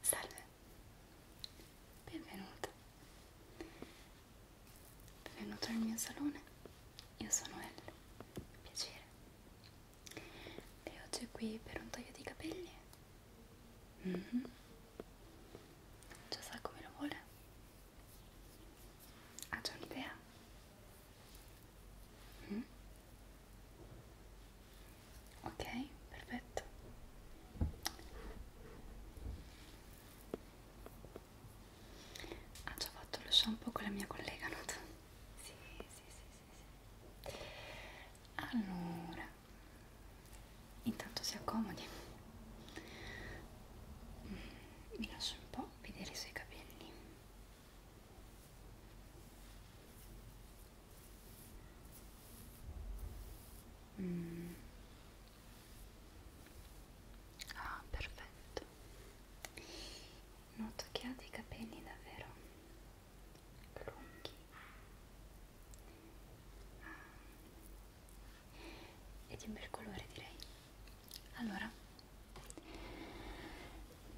Salve, benvenuto, benvenuto nel mio salone, io sono Elle, piacere, e oggi è qui per un taglio di capelli? Mm -hmm. Già sa come lo vuole? Ha già un'idea? Mm. Ok, perfetto. Ha già fatto lo shampoo con la mia collega, noto? Sì, sì, sì, sì, sì. Allora, intanto si accomodi. Mm, mi lascio un po' vedere i suoi capelli. Mm. Ah, perfetto. Noto che ha dei capelli davvero lunghi. Ah. E di un bel colore direi. Allora,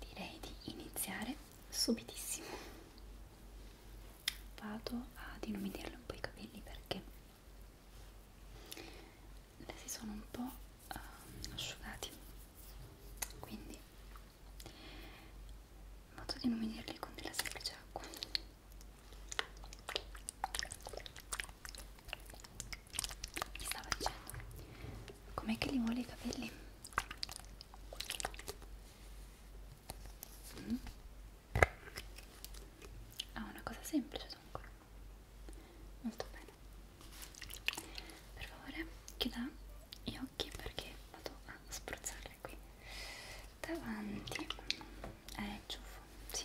direi di iniziare subitissimo vado ad illuminarle un po' i capelli perché si sono un po' uh, asciugati quindi vado ad illuminarli con della semplice acqua mi stava dicendo com'è che li vuole i capelli? Mm. Ah, una cosa semplice dunque. Molto bene. Per favore, chiuda gli occhi perché vado a spruzzarle qui. Davanti. Eh, ciuffo, sì.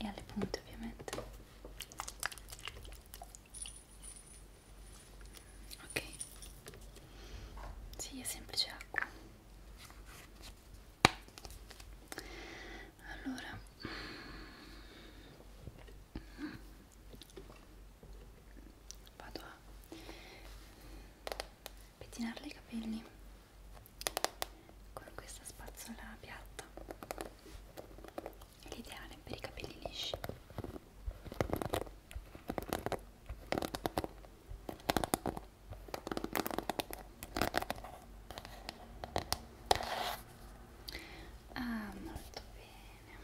e alle punte ovviamente ok si sì, è semplice acqua allora vado a pettinarle i capelli con questa spazzola piatta è l'ideale per i capelli lisci ah molto bene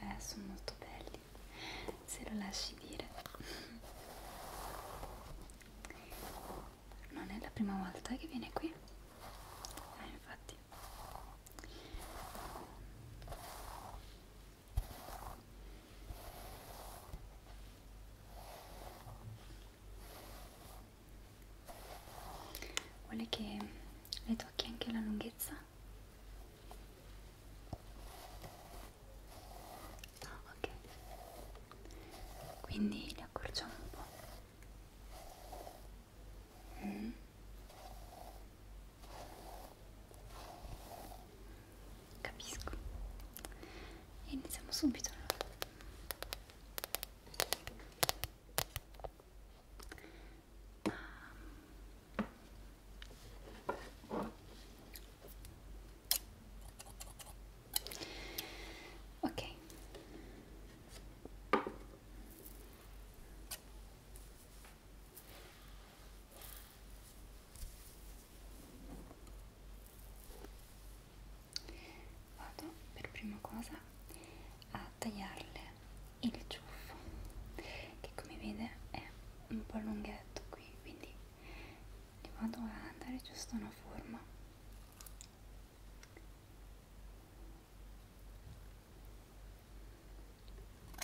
eh, sono molto belli, se lo lasci dire. Non è la prima volta che viene qui. Eh, infatti. Vuole che le tocchi anche la lunghezza? Ah, ok. Quindi li accorciamo un po'. Mm. Capisco. Iniziamo subito. Um. Ok vado per prima cosa a tagliarle il ciuffo che come vede è un po' lunghetto qui quindi gli vado a dare giusto una forma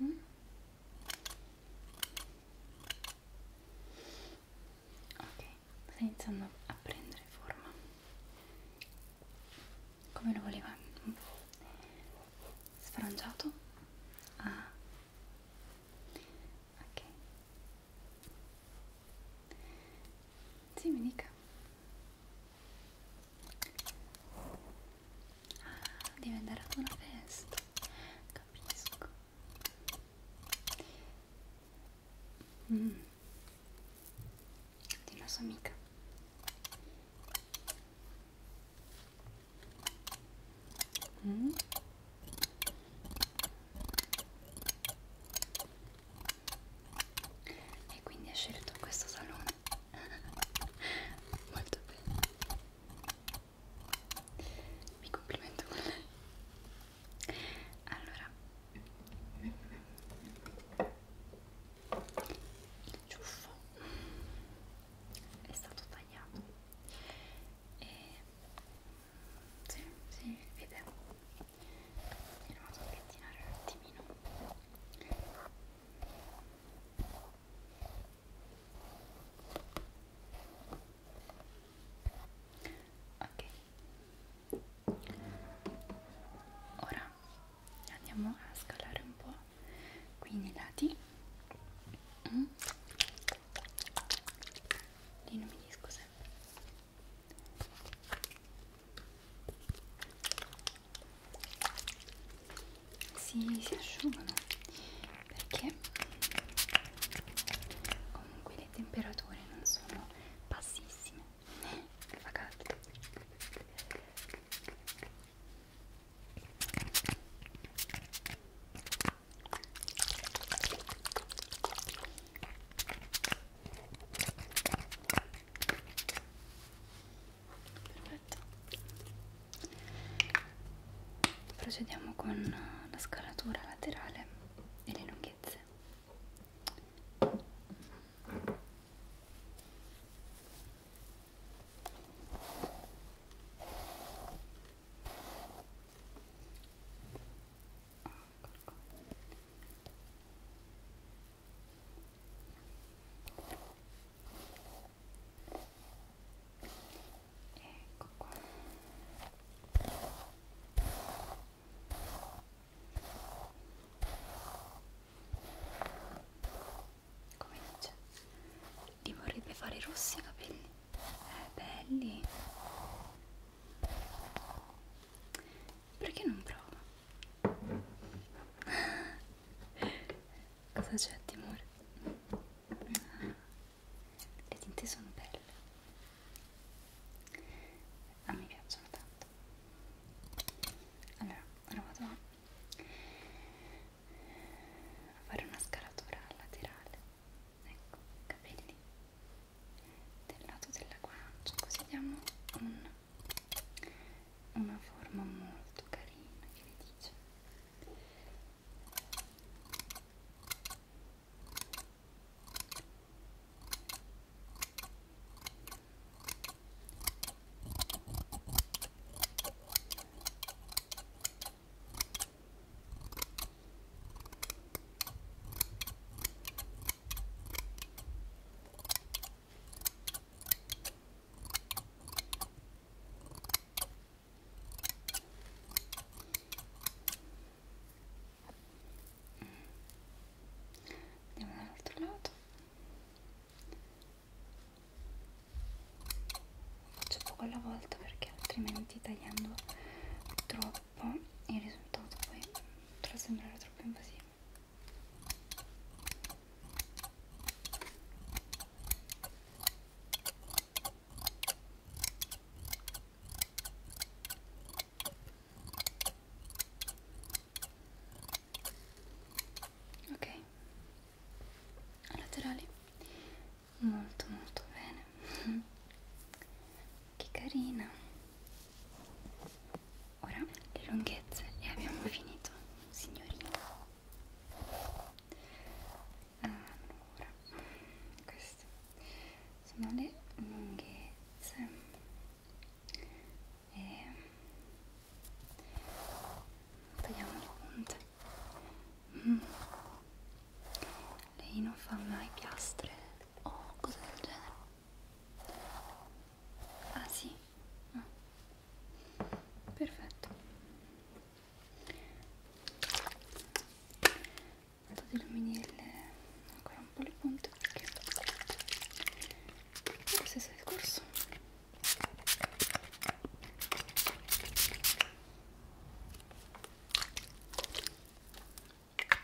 Mm -hmm. Ok, sta iniziando a prendere forma come lo voleva un po' sfrangiato. Ah. Ok. Sì, mi dica. Ah, devi andare ad una festa, capisco. Mm. Di una sua amica. Mm e quindi ha scelto questo salone molto bene mi complimento con lei allora il ciuffo è stato tagliato e sì, si sì, vede Andiamo a spettinare un attimino. Ok. Ora andiamo a scalare un po' qui nei lati. Mm. Dimmi scusa si, si asciugano perché comunque le temperature non sono bassissime fa caldo Perfetto. Procediamo con la scalatura laterale e le lunghezze. Ecco qua. Come dice? Ti vorrebbe fare rossi i capelli? Eh, belli. Perché non prova? Cosa c'è, timore? Le tinte sono belle. A me piacciono tanto. Allora, ora vado a fare una scalatura laterale. Ecco, capelli del lato della guancia così diamo un, una forma molto carina che vi dice Ecco Andiamo dall'altro lato. Faccio poco alla volta perché altrimenti tagliando troppo troppo e il risultato poi potrà sembrare troppo invasivo ok laterali molto molto bene che carina ora le lunghezze e abbiamo finito signorina allora queste sono le lunghezze e tagliamo le punte mm. lei non fa mai piastre o oh, cose del genere ah sì no. Ah. perfetto vado ad illuminare ancora un po' le punte perché questo è il corso Okay.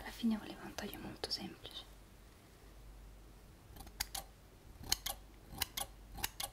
Alla fine voleva un taglio molto semplice.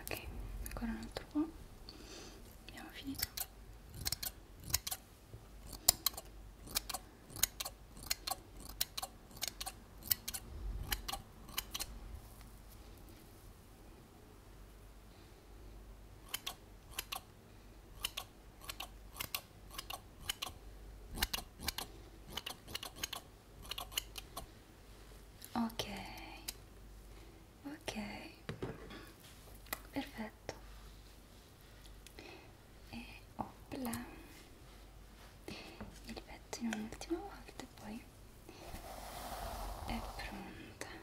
ok ancora un altro po' abbiamo finito ok ok ok perfetto e opla il pettino un'ultima volta e poi è pronta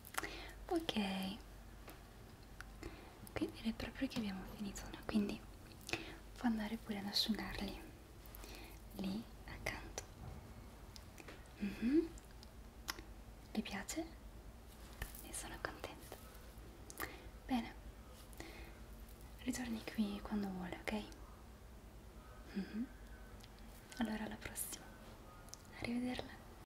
ok ok direi proprio che abbiamo finito no? quindi può andare pure ad asciugarli lì accanto mm -hmm. le piace? ne sono contenta bene ritorni qui quando vuole ok? Mm -hmm. allora alla prossima arrivederla